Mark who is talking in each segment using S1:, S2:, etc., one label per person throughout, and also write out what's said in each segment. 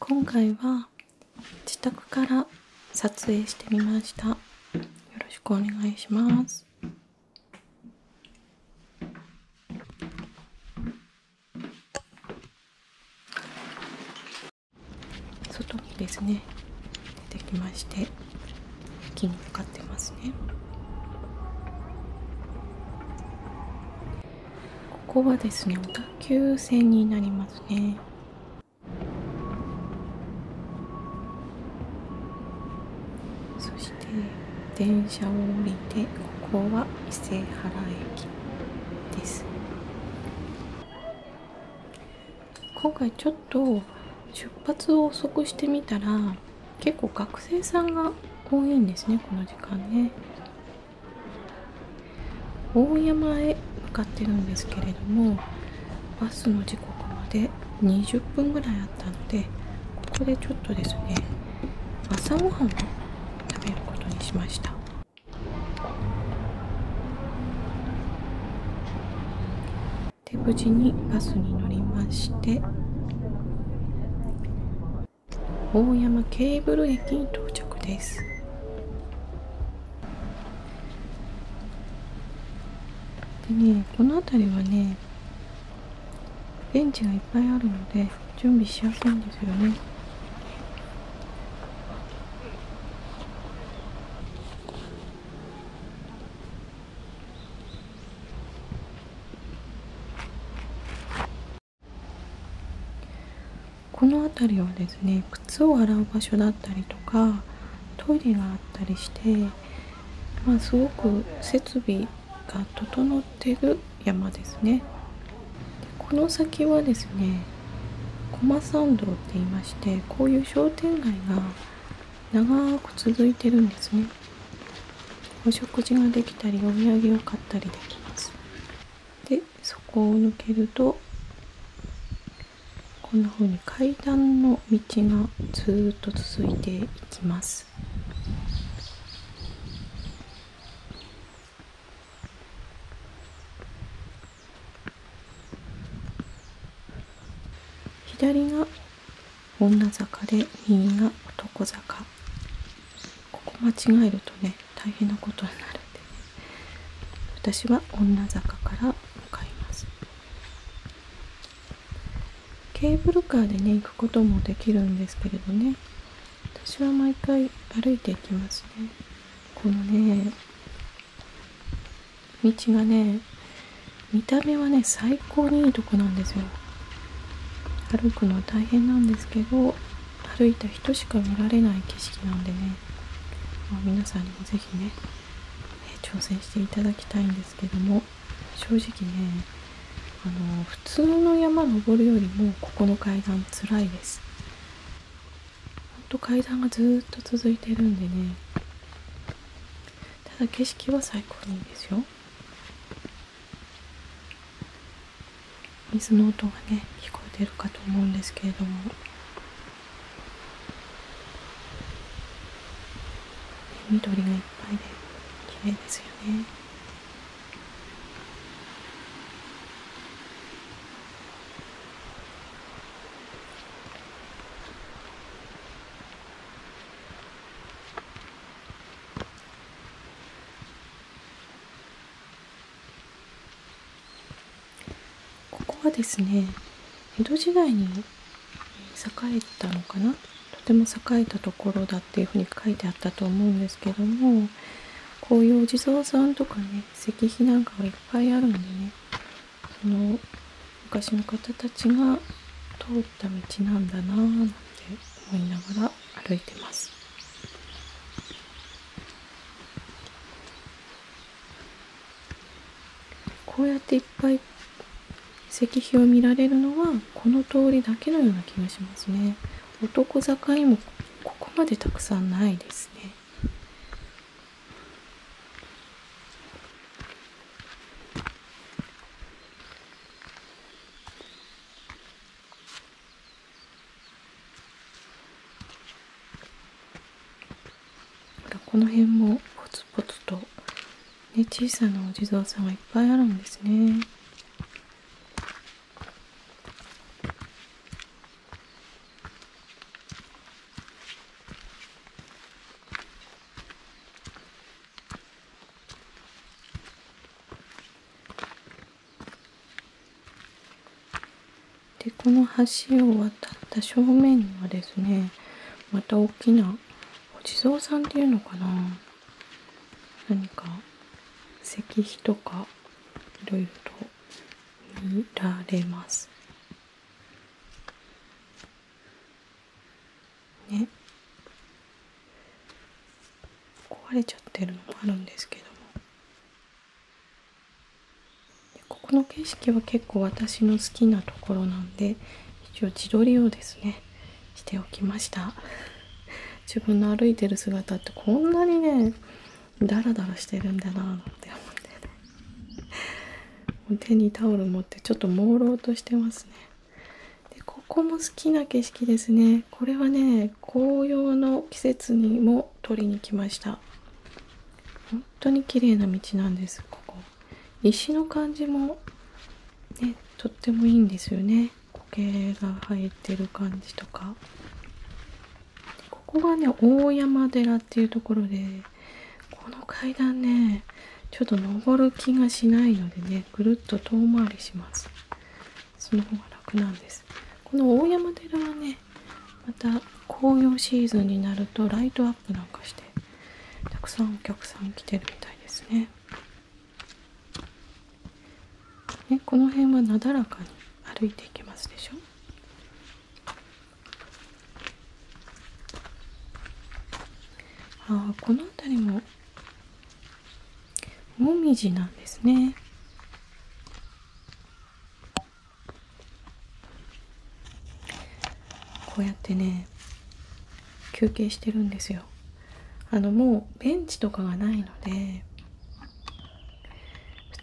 S1: 今回は自宅から撮影してみましたよろしくお願いします外にですね出てきまして木に向っますねここはですね小田急線になりますねそして電車を降りてここは伊勢原駅です今回ちょっと出発を遅くしてみたら結構学生さんが多いんですねこの時間ね大山へ向かってるんですけれどもバスの時刻まで20分ぐらいあったのでここでちょっとですね朝ごはんを食べることにしましたで無事にバスに乗りまして大山ケーブル駅に到着ですでねこの辺りはねベンチがいっぱいあるので準備しやすいんですよねこの辺りはですね靴を洗う場所だったりとかトイレがあったりして、まあ、すごく設備が整ってる山ですねこの先はですね駒参道って言いましてこういう商店街が長く続いてるんですねお食事ができたりお土産を買ったりできますでそこを抜けるとこんなふうに階段の道がずっと続いていきます左が女坂で右が男坂ここ間違えるとね大変なことになるんで、私は女坂から向かいますケーブルカーでね行くこともできるんですけれどね私は毎回歩いていきますねこのね道がね見た目はね最高にいいとこなんですよ歩くのは大変なんですけど歩いた人しか見られない景色なのでね、まあ、皆さんにも是非ね挑戦していただきたいんですけども正直ねあの普通の山登るよりもここの階段つらいですほんと階段がずっと続いてるんでねただ景色は最高にいいですよ水の音がね聞こえてるかと思うんですけれども緑がいっぱいで綺麗ですよねここはですね江戸時代に栄えたのかなとても栄えたところだっていうふうに書いてあったと思うんですけどもこういうお地蔵さんとかね石碑なんかがいっぱいあるんでねその昔の方たちが通なんだなぁなんて思いながら歩いてますこうやっていっぱい石碑を見られるのはこの通りだけのような気がしますね男坂にもここまでたくさんないですねこの辺もポツポツと、ね、小さなお地蔵さんがいっぱいあるんですね。でこの橋を渡った正面にはですねまた大きなお地蔵さんっていうのかな何か石碑とかいろいろと見られます。ね壊れちゃってるのもあるんですけどもここの景色は結構私の好きなところなんで一応自撮りをですねしておきました 自分の歩いてる姿ってこんなにねダラダラしてるんだななんて思ってね手にタオル持ってちょっと朦朧としてますねでここも好きな景色ですねこれはね紅葉の季節にも撮りに来ました本当に綺麗な道なんですここ石の感じもねとってもいいんですよね苔が生えてる感じとかここがね大山寺っていうところでこの階段ねちょっと登る気がしないのでねぐるっと遠回りしますその方が楽なんですこの大山寺はねまた紅葉シーズンになるとライトアップなんかしてたくさんお客さん来てるみたいですねねこの辺はなだらかに歩いていけますでしょあこの辺りももみじなんですね。こうやってね休憩してるんですよ。あのもうベンチとかがないので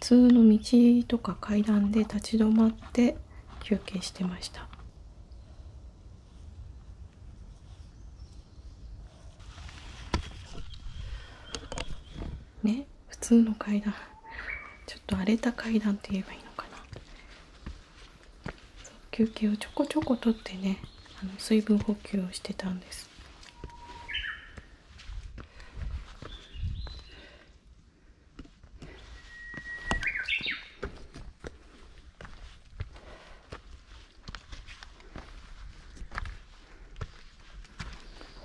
S1: 普通の道とか階段で立ち止まって休憩してました。ね普通の階段ちょっと荒れた階段って言えばいいのかな休憩をちょこちょこ取ってねあの水分補給をしてたんです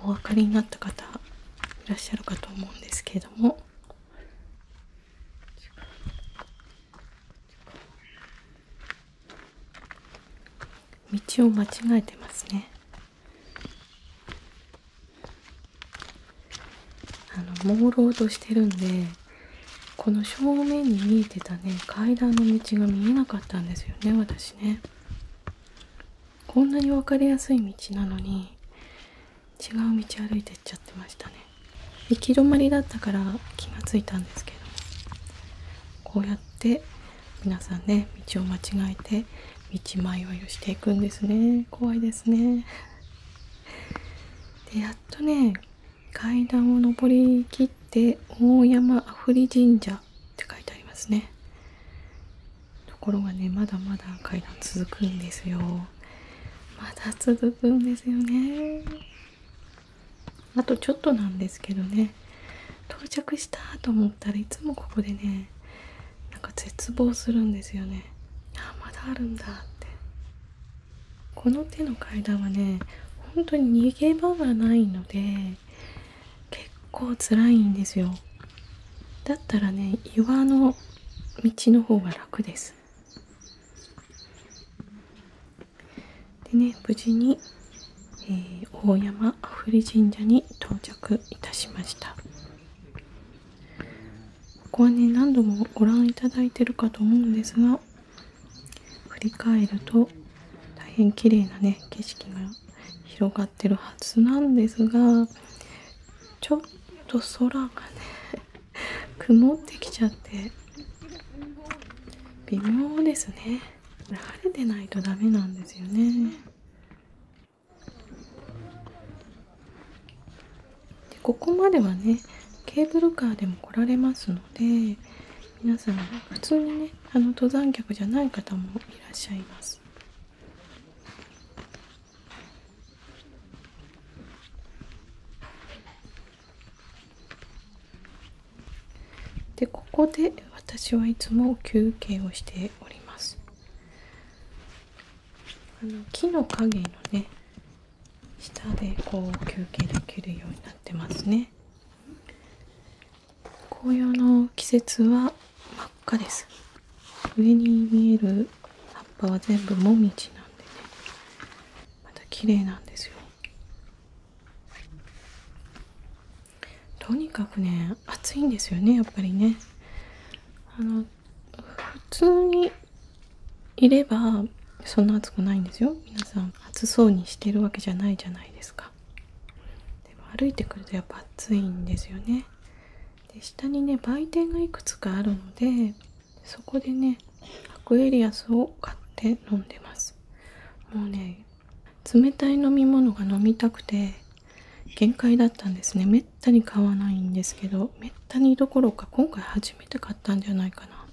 S1: お分かりになった方いらっしゃるかと思うんですけれども道を間違えてますねあの朦朧としてるんでこの正面に見えてたね階段の道が見えなかったんですよね私ねこんなに分かりやすい道なのに違う道歩いてっちゃってましたね行き止まりだったから気が付いたんですけどこうやって皆さんね道を間違えて道迷いをしていくんですね怖いですねでやっとね階段を上りきって大山あふり神社って書いてありますねところがねまだまだ階段続くんですよまだ続くんですよねあとちょっとなんですけどね到着したと思ったらいつもここでねなんか絶望するんですよねあまだあるんだってこの手の階段はね本当に逃げ場がないので結構辛いんですよだったらね岩の道の方が楽ですでね無事に、え大山阿夫利神社に到着いたしましたここはね何度もご覧いただいてるかと思うんですが振り返ると大変綺麗なね景色が広がってるはずなんですがちょっと空がね 曇ってきちゃって微妙ですね晴れてないとダメなんですよねでここまではねケーブルカーでも来られますので、で皆さん普通にねあの登山客じゃない方もいらっしゃいます。でここで私はいつも休憩をしております。あの木の影のね下でこう休憩できるようになってますね紅葉の季節は真っ赤です上に見える葉っぱは全部もみなんでね綺麗なんですよとにかくね暑いんですよねやっぱりねあの普通にいればそんな暑くないんですよ皆さん暑そうにしてるわけじゃないじゃないですかでも歩いてくるとやっぱ暑いんですよねで下にね売店がいくつかあるのでそこでねアクエリアスを買って飲んでますもうね冷たい飲み物が飲みたくて限界だったんですねめったに買わないんですけどめったにどころか今回初めて買ったんじゃないかな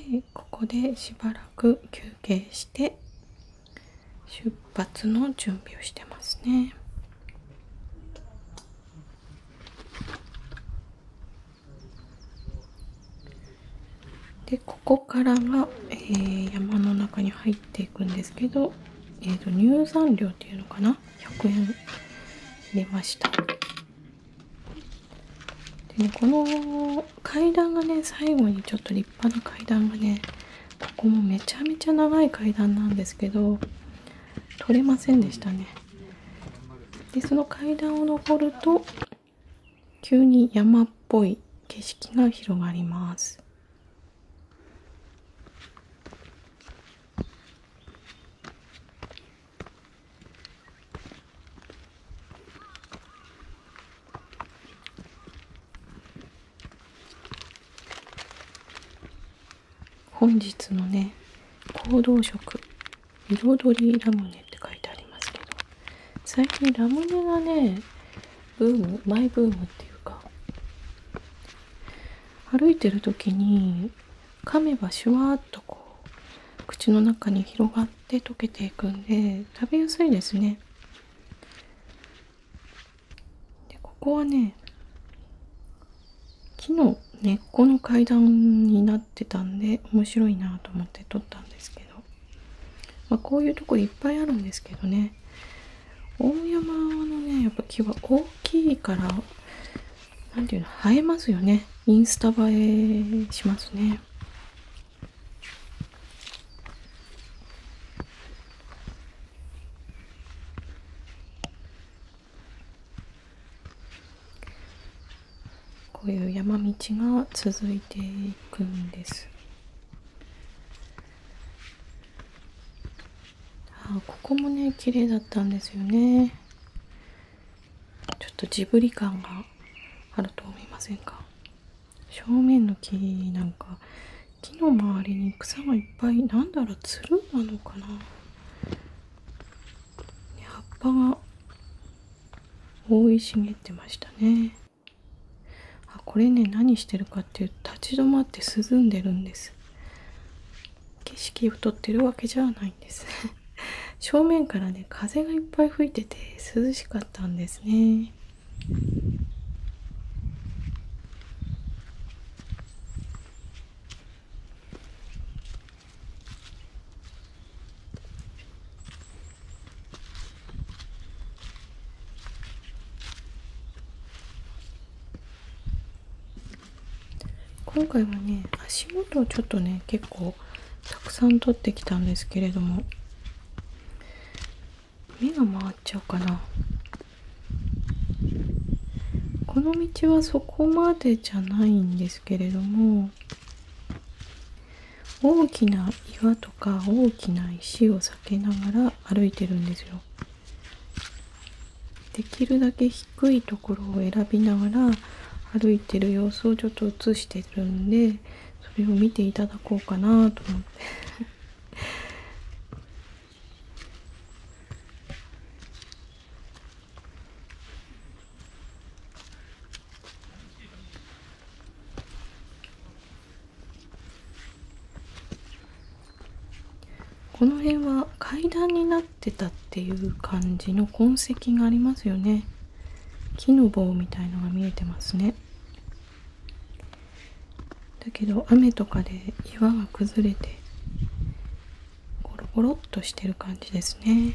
S1: でここでしばらく休憩して出発の準備をしてますね。でここからはえ山の中に入っていくんですけど、えーと、入山料っていうのかな100円入れましたで、ね、この階段がね最後にちょっと立派な階段がねここもめちゃめちゃ長い階段なんですけど取れませんでしたねでその階段を上ると急に山っぽい景色が広がります本日のね行動食彩りラムネって書いてありますけど最近ラムネがねブームマイブームっていうか歩いてる時に噛めばシュワーっとこう口の中に広がって溶けていくんで食べやすいですねでここはね木の根っこの階段になって。で面白いなと思って撮ったんですけど、あ、こういうとこいっぱいあるんですけどね大山のねやっぱ木は大きいから何ていうの映えますよねインスタ映えしますね。こういう山道が続いていくんですあここもね綺麗だったんですよねちょっとジブリ感があると思いませんか正面の木なんか木の周りに草がいっぱいなんだろうつるなのかな葉っぱが覆い茂ってましたねあこれね何してるかっていうと立ち止まって涼んでるんです景色を撮ってるわけじゃないんです 正面からね風がいっぱい吹いてて涼しかったんですね今回はね足元をちょっとね結構たくさん取ってきたんですけれども目が回っちゃうかなこの道はそこまでじゃないんですけれども大きな岩とか大きな石を避けながら歩いてるんですよ。できるだけ低いところを選びながら歩いてる様子をちょっと映してるんでそれを見ていただこうかなと思って この辺は階段になってたっていう感じの痕跡がありますよね木の棒みたいのが見えてますねだけど雨とかで岩が崩れてゴロゴロっとしてる感じですね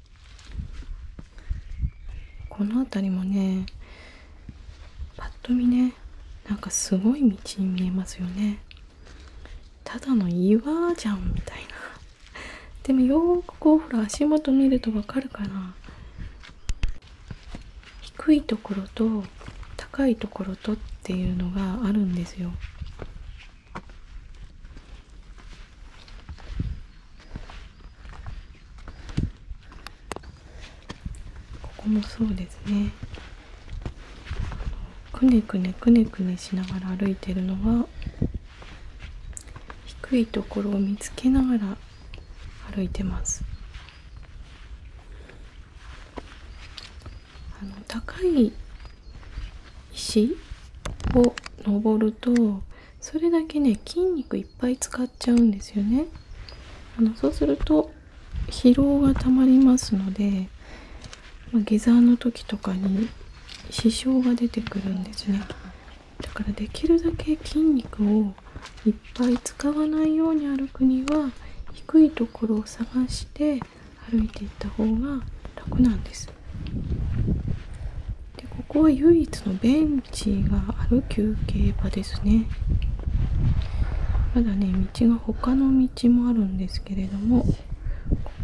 S1: この辺りもねぱっと見ねなんかすごい道に見えますよねただの岩じゃんみたいなでもよーくこうほら足元見るとわかるかな低いところと高いところとっていうのがあるんですよここもそうですねくねくねくねくねしながら歩いてるのは低いところを見つけながら歩いてますあの高い石を登るとそれだけね筋肉いっぱい使っちゃうんですよねあのそうすると疲労がたまりますので、ま下山の時とかに支障が出てくるんですねだからできるだけ筋肉をいっぱい使わないように歩くには低いところを探して歩いていった方が楽なんですでここは唯一の便地がある休憩場ですねまだね道が他の道もあるんですけれども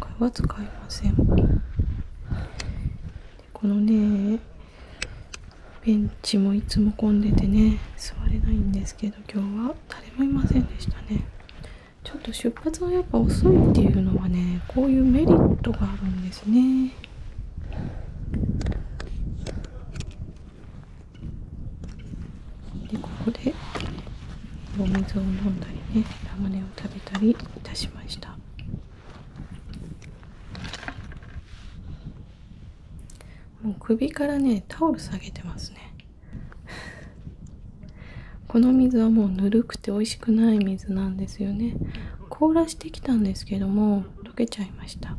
S1: 今回は使いませんこのねベンチもいつも混んでてね座れないんですけど今日は誰もいませんでしたねちょっと出発がやっぱ遅いっていうのはねこういうメリットがあるんですねでここでお水を飲んだりねラムネを食べたりいたしましたもう首からねタオル下げてますね この水はもうぬるくて美味しくない水なんですよね凍らしてきたんですけども溶けちゃいました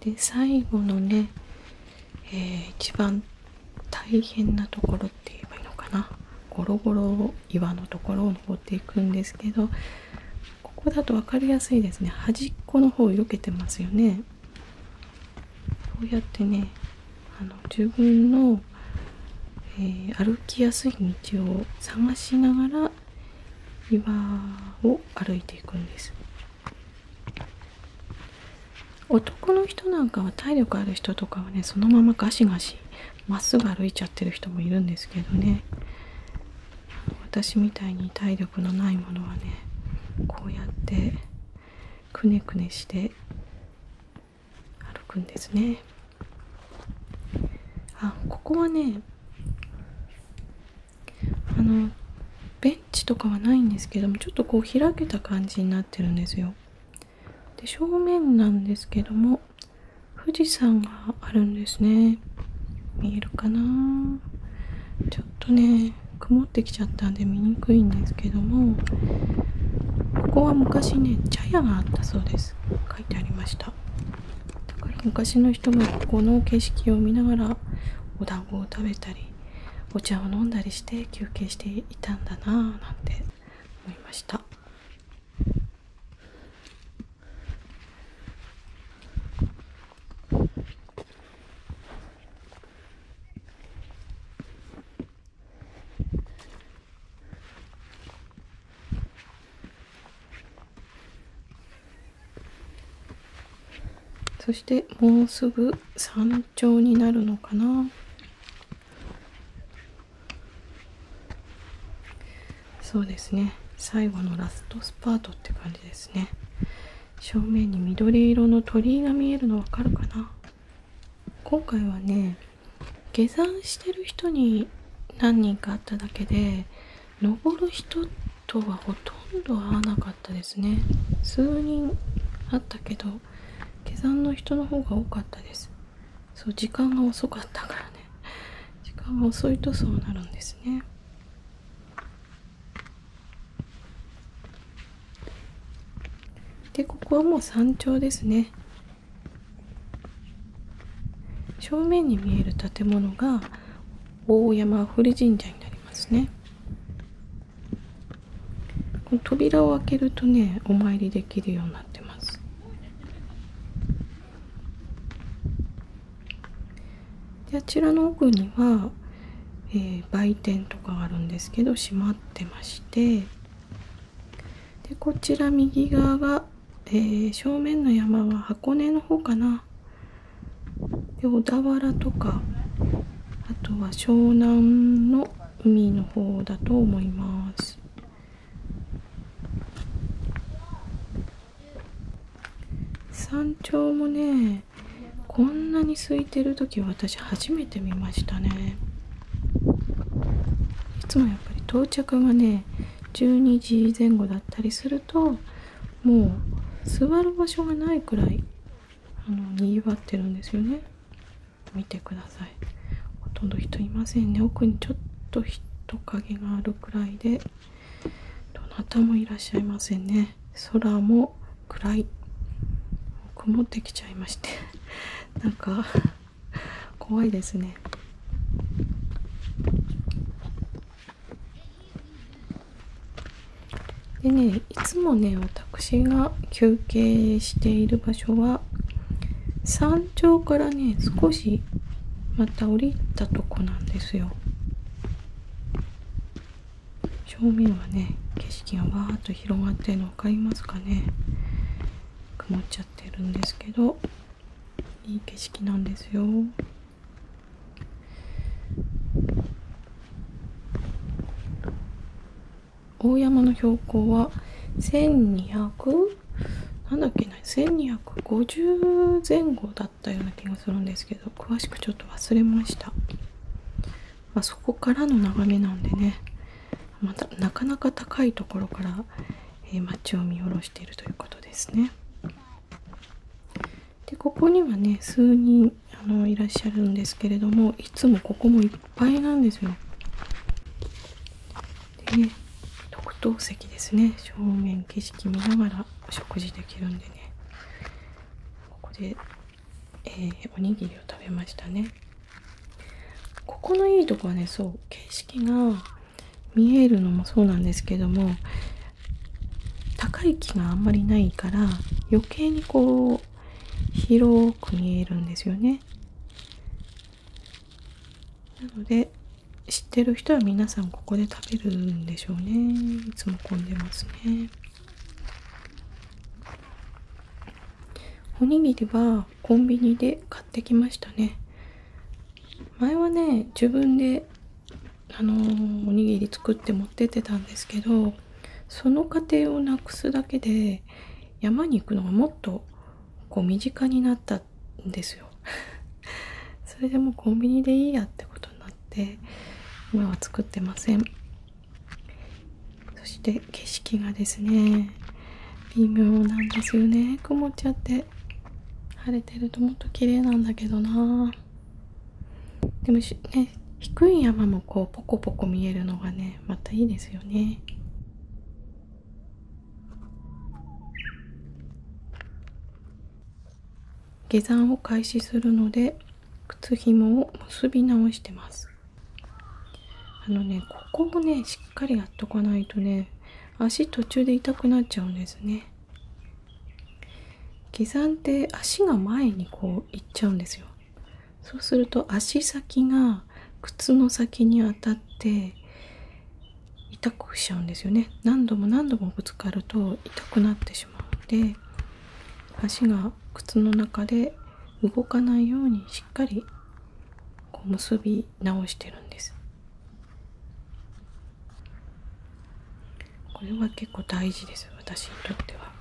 S1: で最後のね、一番大変なところって言えばいいのかなゴロゴロ岩のところを登っていくんですけどここだと分かりやすいですね端っこの方避けてますよねこうやってねあの自分の、えー、歩きやすい道を探しながら岩を歩いていくんです男の人なんかは体力ある人とかはねそのままガシガシまっすぐ歩いちゃってる人もいるんですけどね私みたいに体力のないものはねこうやってくねくねして歩くんですねあここはねあのベンチとかはないんですけどもちょっとこう開けた感じになってるんですよで正面なんですけども富士山があるんですね見えるかなちょっとね曇ってきちゃったんで見にくいんですけどもここは昔ね茶屋があったそうです書いてありましただから昔の人がここの景色を見ながらお団子を食べたりお茶を飲んだりして休憩していたんだなあ。なんてそしてもうすぐ山頂になるのかなそうですね最後のラストスパートって感じですね正面に緑色の鳥居が見えるのわかるかな今回はね下山してる人に何人かあっただけで登る人とはほとんど会わなかったですね数人あったけど下山の人の方が多かったですそう時間が遅かったからね時間が遅いとそうなるんですねでここはもう山頂ですね正面に見える建物が大山古神社になりますね扉を開けるとねお参りできるようになってますであちらの奥には、えー、売店とかがあるんですけど閉まってましてでこちら右側が、えー、正面の山は箱根の方かなで小田原とかあとは湘南の海の方だと思います山頂もねこんなに空いてる時私初めて見ましたねいつもやっぱり到着がね12時前後だったりするともう座る場所がないくらいあのにぎわってるんですよね見てくださいほとんど人いませんね奥にちょっと人影があるくらいでどなたもいらっしゃいませんね空も暗い曇ってきちゃいまして なんか怖いですねでねいつもね私が休憩している場所は山頂からね少しまた降りたとこなんですよ正面はね景色がわーっと広がってるの分かりますかね曇っちゃってるんですけどいい景色なんですよ大山の標高は1200なんだっけな1250前後だったような気がするんですけど詳しくちょっと忘れました、そこからの眺めなんでねまたなかなか高いところから、街を見下ろしているということですねでここにはね数人いらっしゃるんですけれどもいつもここも一いなんですよ。で特等席ですね正面景色見ながらお食事できるんでねここで、えおにぎりを食べましたね。ここのいいとこはねそう景色が見えるのもそうなんですけども高い木があんまりないから余計にこう広く見えるんですよね。なので知ってる人は皆さんここで食べるんでしょうねいつも混んでますねおにぎりはコンビニで買ってきましたね前はね自分であのおにぎり作って持ってってたんですけどその過程をなくすだけで山に行くのがもっとこう身近になったんですよ それでもコンビニでいいやってことになって今は作ってませんそして景色がですね微妙なんですよね曇っちゃって晴れてるともっと綺麗なんだけどなでもね低い山もこうポコポコ見えるのがねまたいいですよね下山を開始するので靴紐を結び直してますあのねここをねしっかりやっとかないとね足途中で痛くなっちゃうんですね下山って足が前にこう行っちゃうんですよそうすると足先が靴の先に当たって痛くしちゃうんですよね何度も何度もぶつかると痛くなってしまうので足が靴の中で動かないようにしっかりこう結び直してるんですこれは結構大事です私にとっては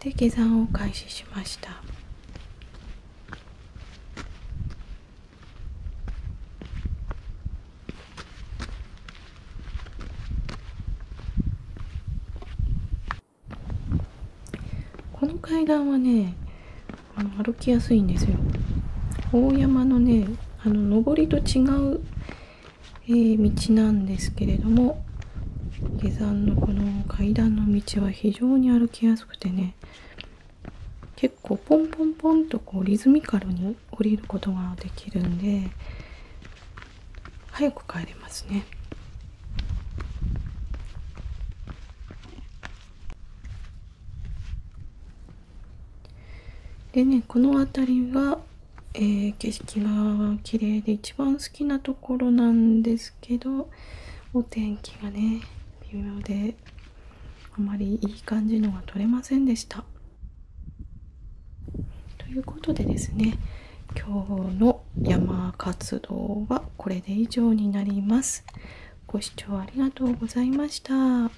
S1: で下山を開始しましたこの階段はねあの歩きやすいんですよ大山のねあの上りと違うえー、道なんですけれども下山のこの階段の道は非常に歩きやすくてね結構ポンポンポンとこうリズミカルに降りることができるんで早く帰れますね。でねこの辺りがえ景色が綺麗で一番好きなところなんですけどお天気がね微妙であまりいい感じのが取れませんでした。ということでですね今日の山活動はこれで以上になります。ご視聴ありがとうございました。